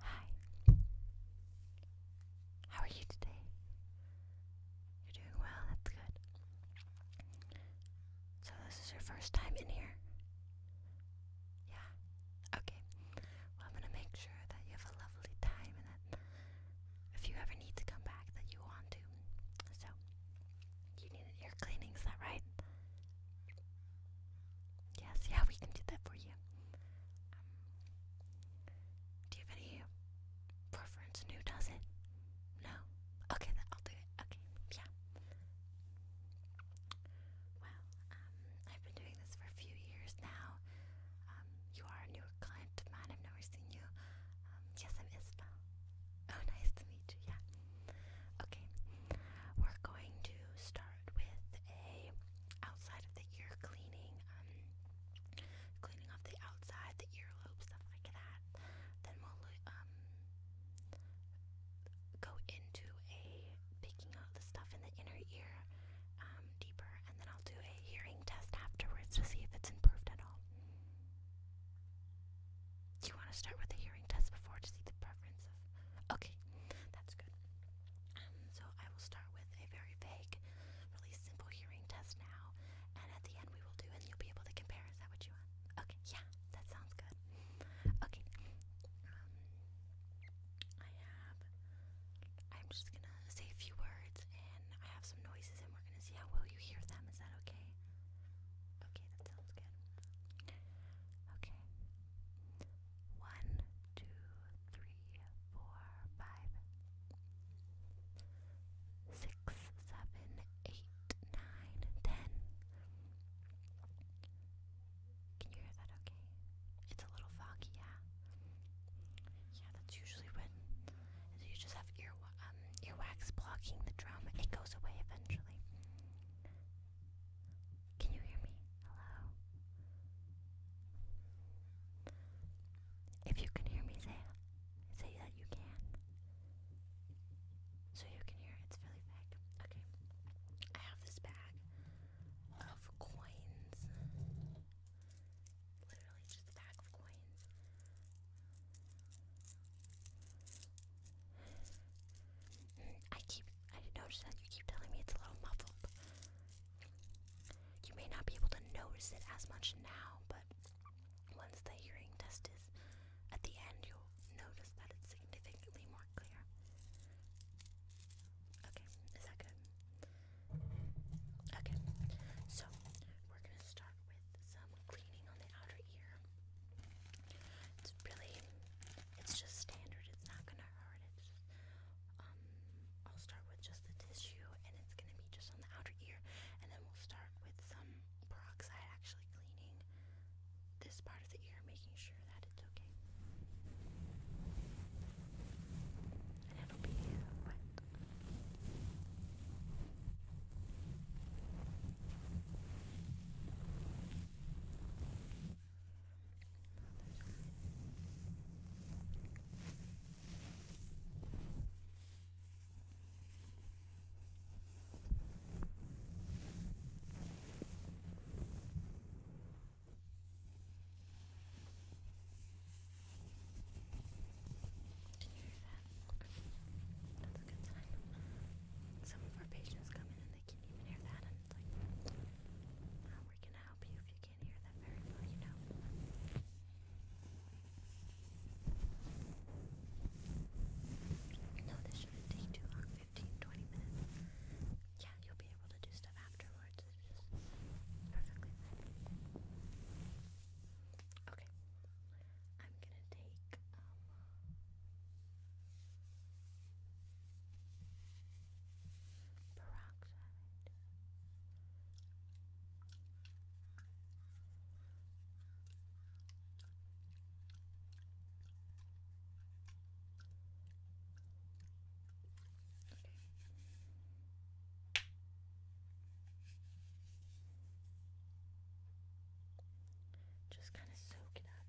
Hi. How are you today? You're doing well, that's good. So, this is your first time in here? Yeah. Okay. Well, I'm gonna make sure that you have a lovely time and that if you ever need to come back, that you want to. So, you need an ear cleaning, is that right? Yes, yeah, we can do that for you. Um, do you have any preference who does it? No? Okay, I'll do it. Okay, yeah. Well, um, I've been doing this for a few years now. Um, you are a newer client of I've never seen you. Um, yes, I'm Isabel. Oh, nice to meet you, yeah. Okay, we're going to start with a outside of the ear cleaning, um, cleaning off the outside, the earlobe, stuff like that. Then we'll um, go into a picking out the stuff in the inner ear um, deeper, and then I'll do a hearing test afterwards to see if it's improved at all. Do you want to start with the hearing test before to see the preference Okay, that's good. Um, so I will start with a very vague, really simple hearing test now, and at the end we will do and you'll be able to compare. Is that what you want? Okay, yeah, that sounds good. Okay. Um, I have I'm just gonna say a few words and I have some noises and we're gonna see how well you hear them. Is that okay? Okay, that sounds good. Okay. One, two, three, four, five, six, seven, eight, nine, ten. Can you hear that okay? It's a little foggy, yeah. Yeah, that's usually when you just have ear um, earwax blocking the drum. It goes away eventually. Can you hear me? Hello? If you can hear me, say say that you can. So you can hear it's really big. Okay. I have this bag of coins. Literally just a bag of coins. I keep I did not notice that you keep telling me it's a little muffled. You may not be able to notice it as much now, but once the hearing test is at the end, you'll notice that it's significantly more clear. Okay, is that good? Okay, so we're gonna start with some cleaning on the outer ear. It's really it's just standard. It's not gonna hurt. It's just, um, I'll start with just the tissue, and it's gonna be just on the outer ear, and then we'll start with some peroxide, actually cleaning this part of the ear, making sure that it's okay. And it'll be wet. Did you hear that? That's a good sign. Some of our patients come in and they can't even hear that, like, we gonna help you if you can't hear that very well, you know. No, this shouldn't take too long 15, minutes. Yeah, you'll be able to do stuff afterwards. It's just perfectly fine. Okay. I'm gonna take, um, Peroxide. Okay. Just kind of soak it up.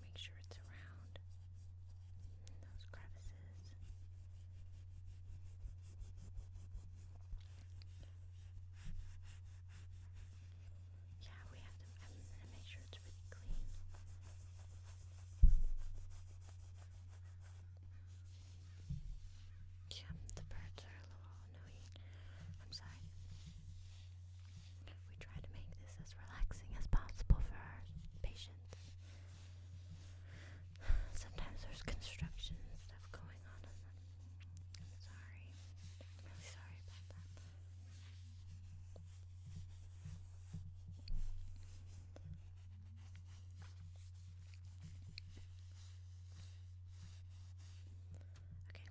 Make sure it's around those crevices. Yeah, we have to um, make sure it's really clean. Yeah, the birds are a little annoying. I'm sorry. We try to make this as relaxing as possible for our patients. Sometimes there's construction stuff going on sorry. I'm really sorry about that. Okay,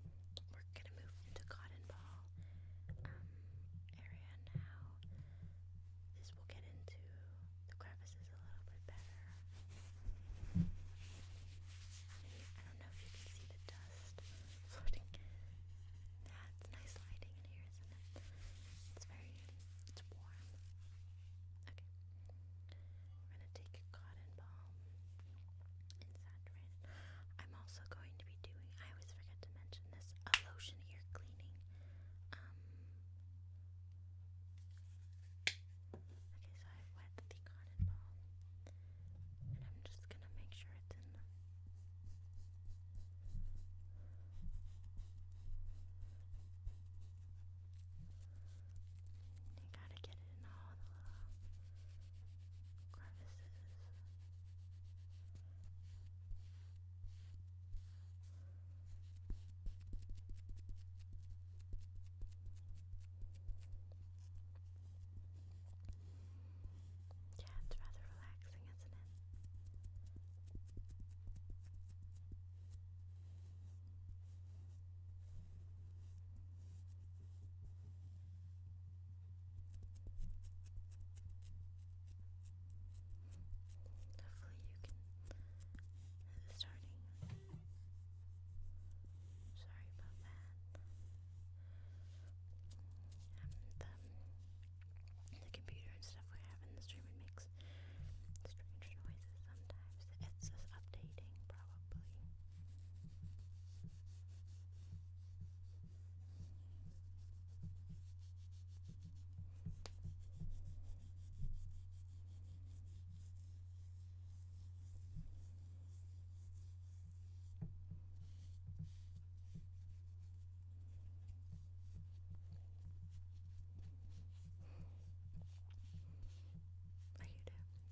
we're gonna move into Cotton Ball um, area now. This will get into the crevices a little bit better. I don't know if you can see the dust floating. That's nice lighting in here, isn't it? It's very it's warm. Okay. We're gonna take a cotton balm and saturate it. I'm also going to be doing I always forget to mention this a lotion ear cleaning. Um Okay, so i wet the cotton balm. And I'm just gonna make sure it's in the you gotta get it in all the little crevices. Yeah, it's rather relaxing, isn't it? Hopefully you can starting. Sorry about that. Um, the computer and stuff, we're having the stream, it makes strange noises sometimes. It's just updating, probably.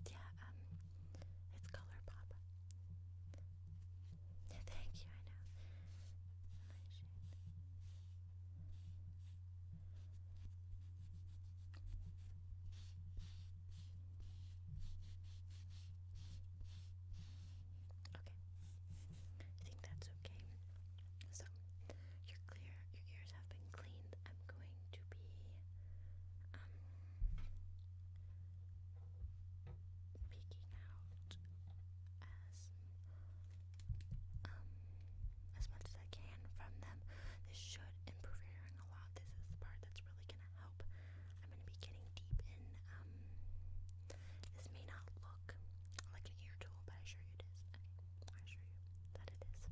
Yeah, um, it's color thank you, I know. Okay. I think that's okay. So, you're clear. Your ears have been cleaned. I'm going to be um out as um as much as I can from them. This should improve hearing a lot. This is the part that's really gonna help. I'm gonna be getting deep in. Um, this may not look like an ear tool, but I assure you it is. I assure you that it is. Okay.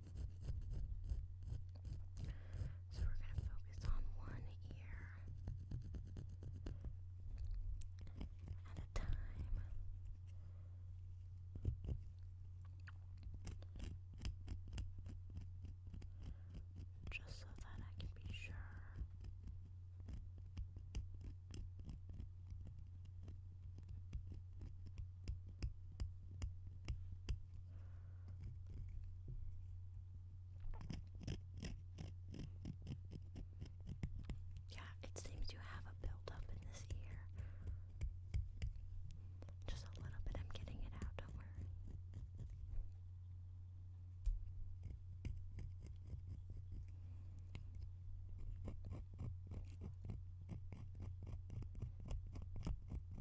So we're going to focus on one ear at a time. Just so that I can be sure yeah, it seems you have a buildup in this ear. Just a little bit, I'm getting it out, don't worry.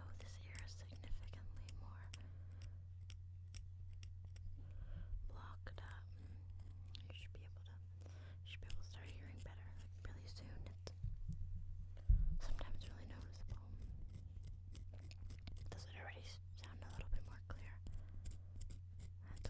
Oh, this ear is significantly more blocked up. You should be able to you should be able to start hearing better really soon. It's really noticeable. Does it already sound a little bit more clear?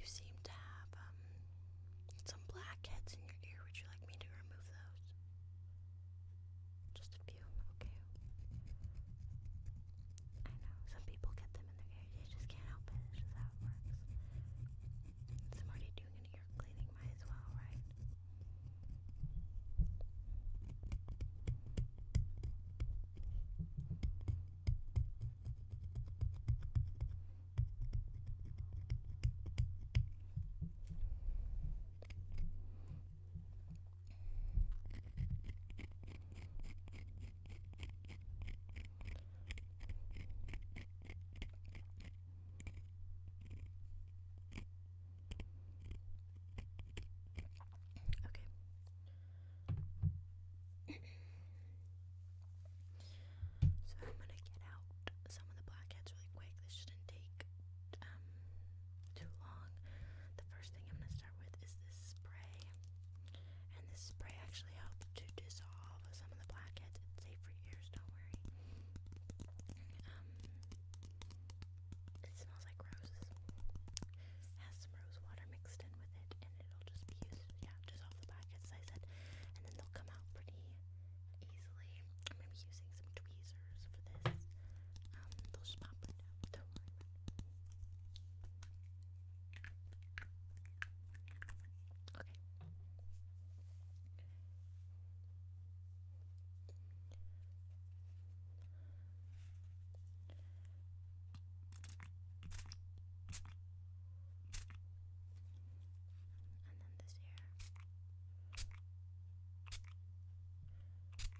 You seem to have um, some blackheads in your ear. Would you like me to remove those? perfume, I know, some people get them in their ears, you just can't help it, it's how it works. I'm already doing an ear cleaning, might as well, right? Okay. so I'm gonna get out some of the blackheads really quick. This shouldn't take um, too long. The first thing I'm gonna start start with is this spray. And this spray actually helps to dissolve some of the blackheads. It's safe for years, don't worry. Um, it smells like roses. It has some rose water mixed in with it, and it'll just be used, yeah, dissolve the blackheads, as I said. And then they'll come out pretty easily. I'm going to be using some tweezers for this. Um, they'll just pop right out. Don't worry about Okay. And then this here.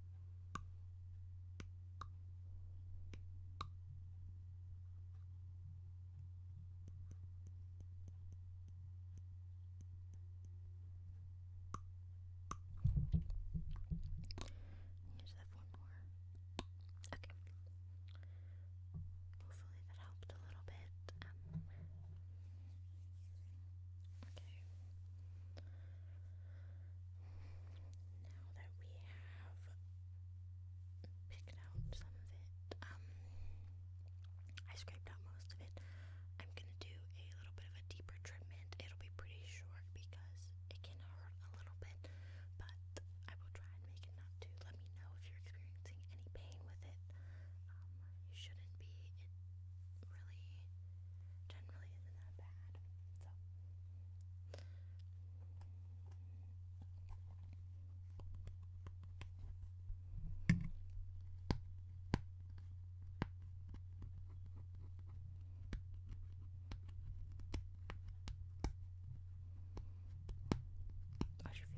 You just one more. Okay. Hopefully that helped a little bit. Um, okay now that we have picked out some of it, um, I scraped out most of it. I'm gonna do a little bit of a deeper treatment. It'll be pretty short because it can hurt a little bit, but I will try and make it not to. Let me know if you're experiencing any pain with it. Um, you shouldn't be. It really generally isn't that bad. So I should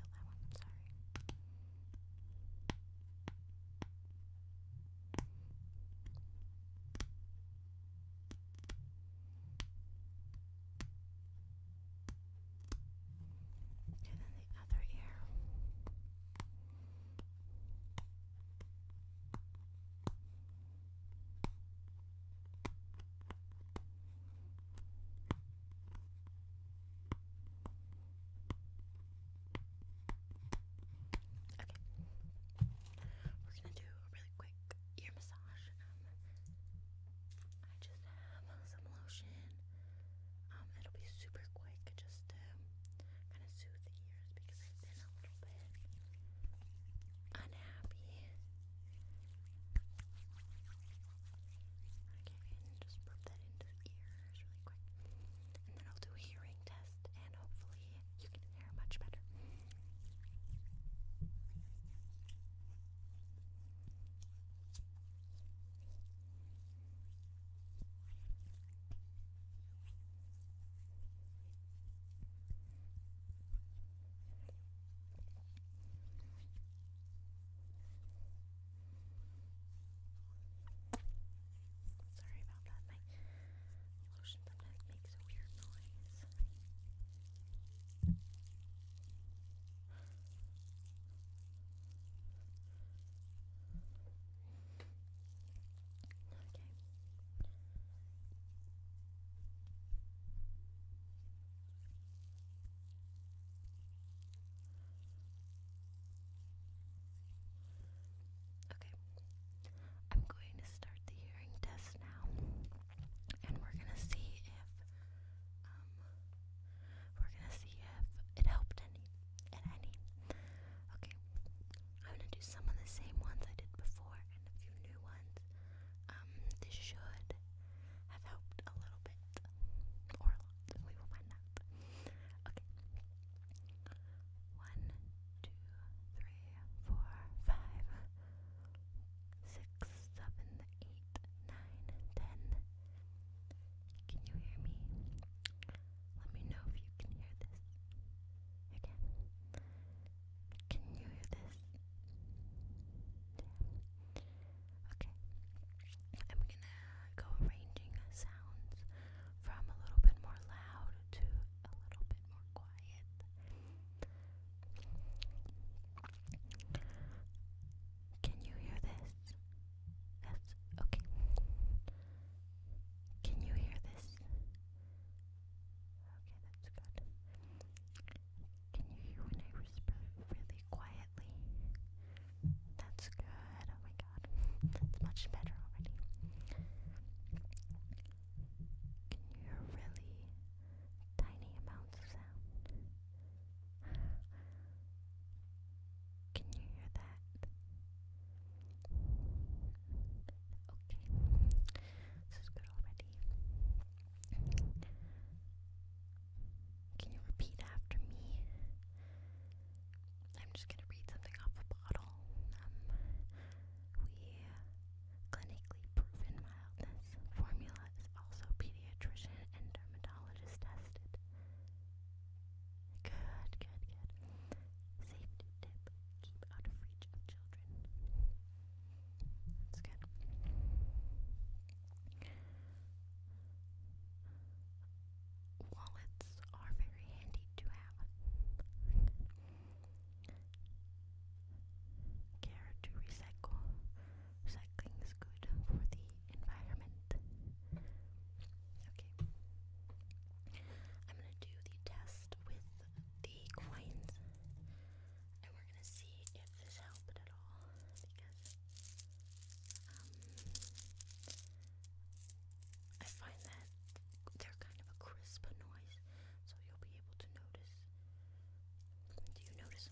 feel that one, I'm sorry. And then the other ear. Okay. Okay. We're gonna do a really quick ear massage. Um, I just have some lotion. Um, it'll be super quick just to kind of soothe the ears because I've been a little bit unhappy. Okay, and just rub that into the ear ears really quick. And then I'll do a hearing test and hopefully you can hear much better. Sorry about that. My lotion sometimes makes weird noise. Okay. Okay, I'm going to start the hearing test now, and we're gonna see if um, we're gonna see if it helped any at any. Okay, I'm gonna do some of the same ones I did before and a few new ones. Um, this should have helped a little bit or we will find out. Okay. One, two, three, four, five, six, seven, eight, nine, ten. Can you hear me? Let me know if you can hear this. Again. Can you hear this? Okay going go arranging sounds from a little bit more loud to a little bit more quiet. Can you hear this? Yes, okay. Can you hear this? Okay, that's good. Can you hear when I whisper really quietly? That's good. Oh my god. That's much better already. Can you hear really tiny amounts of sound? Can you hear that? Okay. This is good already. Can you repeat after me? I'm just gonna read something off a bottle. Um, we clinically proven mildness formula is also pediatrician and dermatologist tested. Good, good, good. Safety tip: keep out of reach of children. That's good wallets are very handy to have. Care to recycle. Recycling is good for the environment. Okay. I'm going to do the test with the coins and we're going to see if this helped at all because um, I find that they're kind of a crisp noise, so you'll be able to notice. Do you notice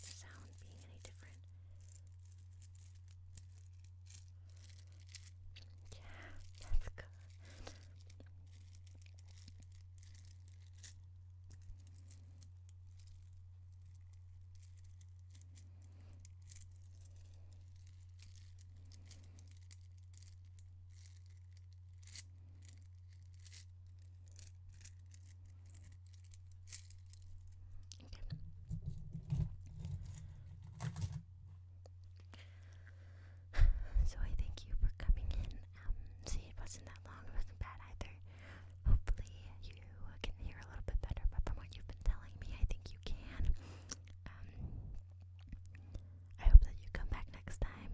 the sound being any different? Yeah, that's good. So I thank you for coming in. Um, see, it wasn't that long. It wasn't bad either. Hopefully, you can hear a little bit better. But from what you've been telling me, I think you can. Um, I hope that you come back next time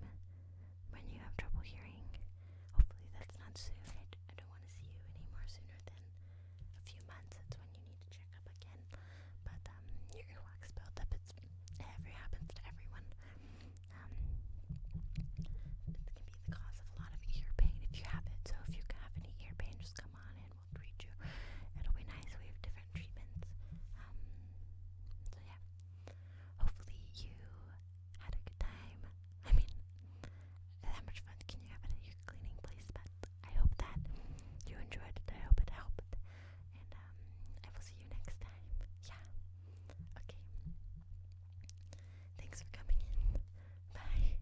when you have trouble hearing. Hopefully, that's not soon. I, don't want to see you anymore sooner than a few months. That's when you need to check up again. But um, your earwax built up. It's every happens to everyone. Um, it can be the cause of a lot of ear pain if you have it. So if you have any ear pain, just come on in we'll treat you. It'll be nice. We have different treatments. Um, so yeah. Hopefully you had a good time. I mean, how much fun can you have at your cleaning place? But I hope that you enjoyed it. I hope it helped. And um, I will see you next time. Yeah. Okay. Thanks for coming in. Bye.